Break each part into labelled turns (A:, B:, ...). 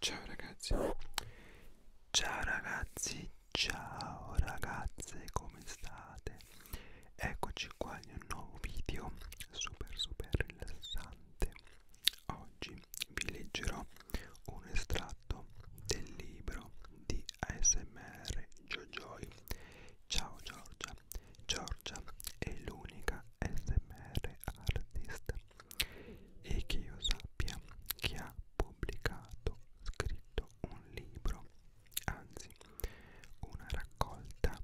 A: Ciao ragazzi, ciao ragazzi, ciao ragazze, come state? Eccoci qua in un nuovo video super super rilassante. Oggi vi leggerò un estratto del libro di ASMR Jojoy. Ciao Giorgia, Giorgia è l'unica ASMR artist e che io sappia chi ha pubblicato, scritto un libro, anzi una raccolta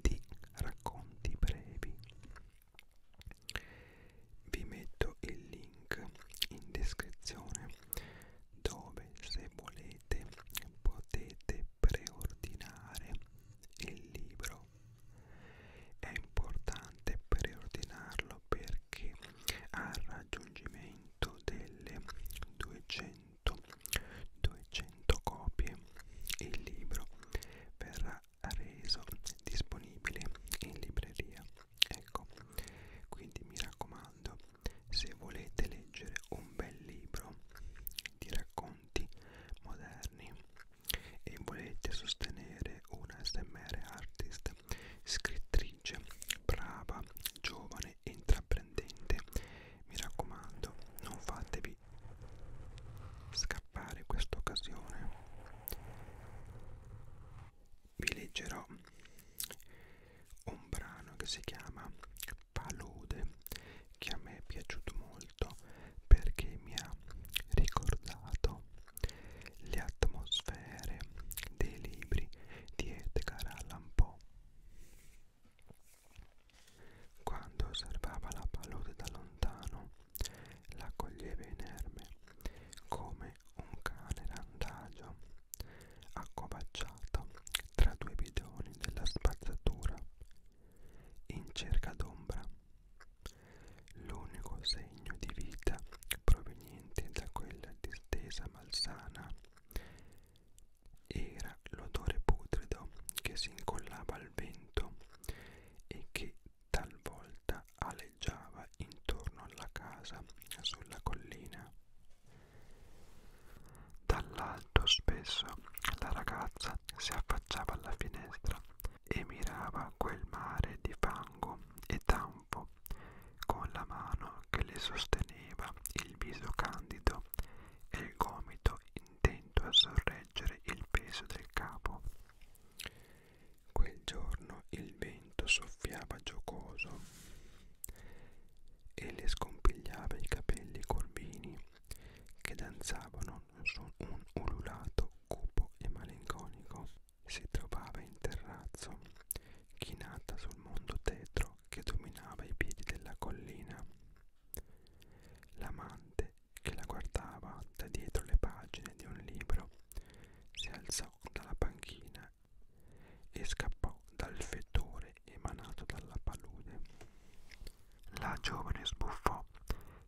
A: di racconti brevi. Vi metto il link in descrizione dove se volete potete preordinare il libro è importante preordinarlo perché al raggiungimento delle 200, 200 copie il libro verrà reso disponibile in libreria. Ecco, quindi mi raccomando, se volete leggere un bel libro di racconti moderni e volete sostenere una SMR artist, scrittrice, brava, giovane e intraprendente, mi raccomando, non fatevi scappare questa occasione. Vi leggerò un brano che si chiama palude che a me è piaciuto molto perché mi ha ricordato le atmosfere dei libri di Edgar Allan Poe. Quando osservava la palude da lontano, la coglieva inerme come un cane randagio accovacciato tra due bidoni della spazzatura in cerca d'ombra. L'unico segno di vita proveniente da quella distesa malsana era l'odore putrido che si incollava al vento e che talvolta aleggiava intorno alla casa sulla collina. Dall'alto spesso la ragazza si affacciava alla finestra e mirava quel mare di fango e tanfo con la mano che le sosteneva il viso candido e il gomito intento a sorreggere il peso del capo. Quel giorno il vento soffiava giocoso e le scompigliava i capelli corbini che danzavano su un ululato cupo e malinconico. Si trovava in terrazzo, chinata sul mondo tetro che dominava i piedi della collina. L'amante, che la guardava da dietro le pagine di un libro, si alzò dalla panchina e scappò dal fetore emanato dalla palude. La giovane sbuffò,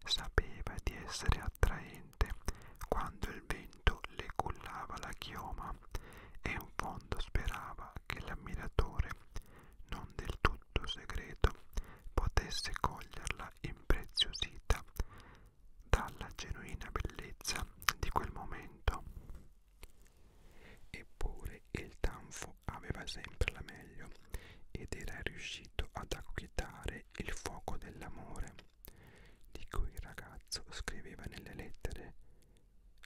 A: sapeva di essere attraente quando il vento le cullava la chioma e in fondo sperava che l'ammiratore, non del tutto segreto, potesse coglierla impreziosita dalla genuina bellezza di quel momento. Eppure il tanfo aveva sempre la meglio ed era riuscito ad acquietare il fuoco dell'amore, di cui il ragazzo scriveva nelle lettere,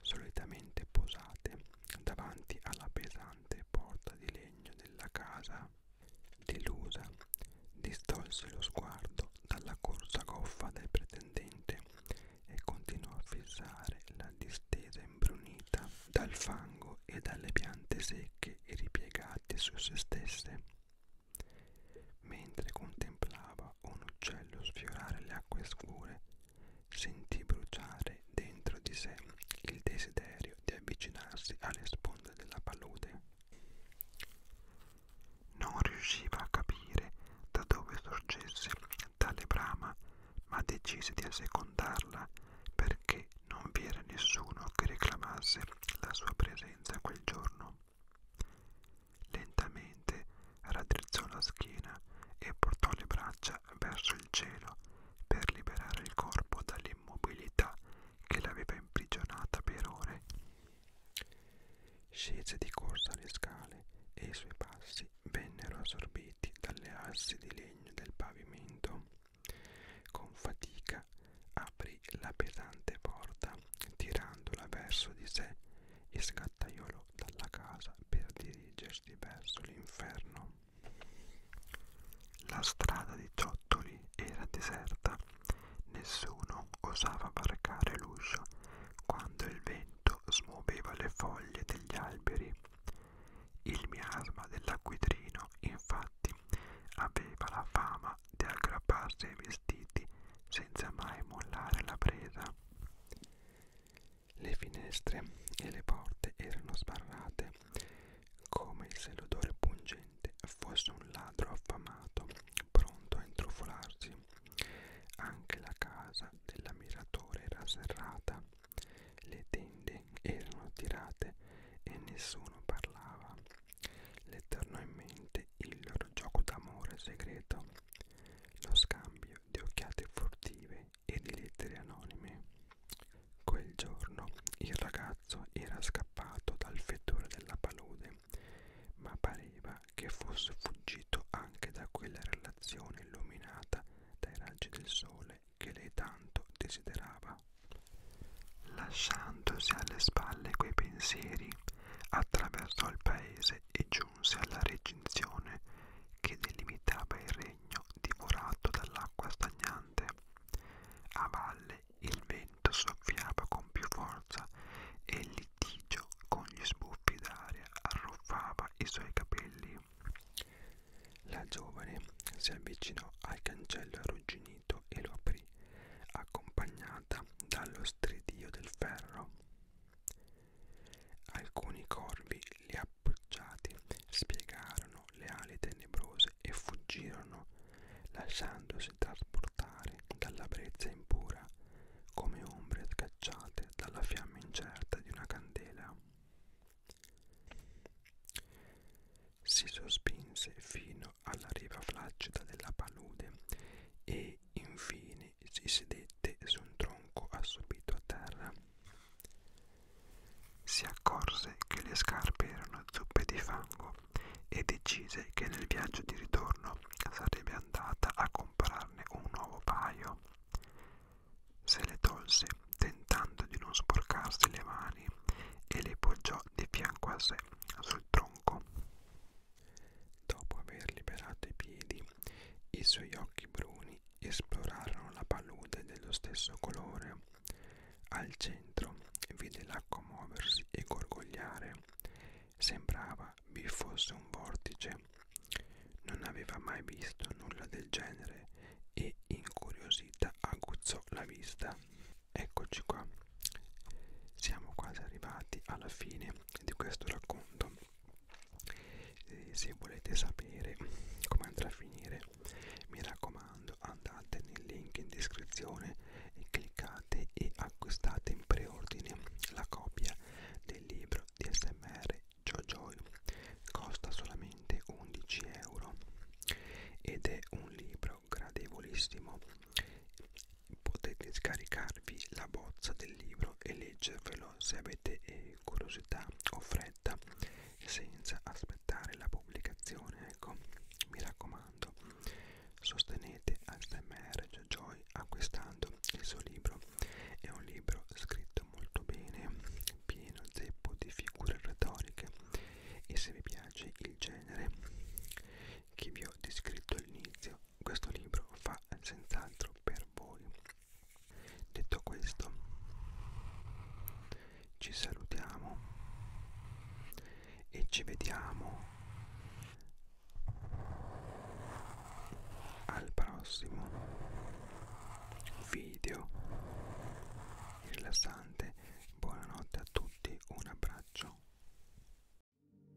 A: solitamente posate davanti alla pesante porta di legno della casa. Delusa, distolse lo sguardo dalla corsa goffa del pretendente e continuò a fissare la distesa imbrunita dal fango e dalle piante secche e ripiegate su se stesse, mentre contemplava un uccello sfiorare le acque scure, sentì bruciare dentro di sé il desiderio di avvicinarsi alle sponde della palude. Non riusciva a capire da dove sorgesse tale brama, ma decise di assecondarla perché non vi era nessuno che reclamasse la sua presenza quel giorno. Lentamente raddrizzò la schiena e portò le braccia verso il cielo per liberare il corpo dall'immobilità che l'aveva imprigionata per ore. Scese di corsa le scale e i suoi passi vennero assorbiti dalle assi di legno del pavimento. Con fatica aprì la pesante porta, tirandola verso di sé e sgattaiolò dalla casa per dirigersi verso l'inferno. La strada di Ciottoli era deserta Nessuno osava varcare l'uscio quando il vento smuoveva le foglie degli alberi. Il miasma dell'acquitrino, infatti, aveva la fama di aggrapparsi ai vestiti senza mai mollare la presa. Le finestre e le porte erano sbarrate come se l'odore pungente sicuramente fosse un ladro affamato, pronto a intrufolarsi. Anche la casa dell'ammiratore era serrata, le tende erano tirate e nessuno parlava. Le tornò in mente il loro gioco d'amore segreto, lo scambio di occhiate furtive e di lettere anonime. Quel giorno il ragazzo era scappato scappato dal fetore della palude, ma pareva che fosse fuggito anche da quella relazione illuminata dai raggi del sole che lei tanto desiderava. Lasciandosi alle spalle quei pensieri, attraversò il paese e giunse alla recinzione che delimitava il regno divorato dall'acqua stagnante. A valle il vento soffiava con più forza e il litigio con gli sbuffi d'aria arruffava i suoi capelli. La giovane si avvicinò al cancello arrugginito e lo aprì, accompagnata dallo stridio del ferro. Alcuni corvi li appoggiati spiegarono le ali tenebrose e fuggirono, lasciandosi trasportare dalla brezza impura, come ombre scacciate dalla fiamma incerta di una candela. Si sospinse fino alla riva flaccida della palude e infine si sedette su un tronco assopito a terra si accorse che le scarpe erano zuppe di fango e decise che nel viaggio di ritorno sarebbe andata a comprarne un nuovo paio. Se le tolse tentando di non sporcarsi le mani e le poggiò di fianco a sé sul tronco. Dopo aver liberato i piedi, i suoi occhi bruni esplorarono la palude dello stesso colore. Al centro vide l'acqua muoversi e gorgogliare. Sembrava vi fosse un vortice. Non aveva mai visto nulla del genere e incuriosita aguzzò la vista. Eccoci qua. Siamo quasi arrivati alla fine di questo racconto. E eh, se volete sapere come andrà a finire, mi raccomando, andate nel link in descrizione e cliccate e acquistate in preordine la copia del libro di SMR JoJoy. Costa solamente 11 euro ed è un libro gradevolissimo. Potete scaricarvi la bozza del libro e leggervelo fatelo se avete eh, curiosità o fretta senza aspettare la pubblicazione ecco mi raccomando sostenete ASMR Joy acquistando il suo libro è un libro scritto molto bene pieno zeppo di figure retoriche e se vi piace il genere che vi ho descritto all'inizio questo libro fa senz'altro per voi Detto questo, ci salutiamo e ci vediamo al prossimo video rilassante. Buonanotte a tutti, un abbraccio.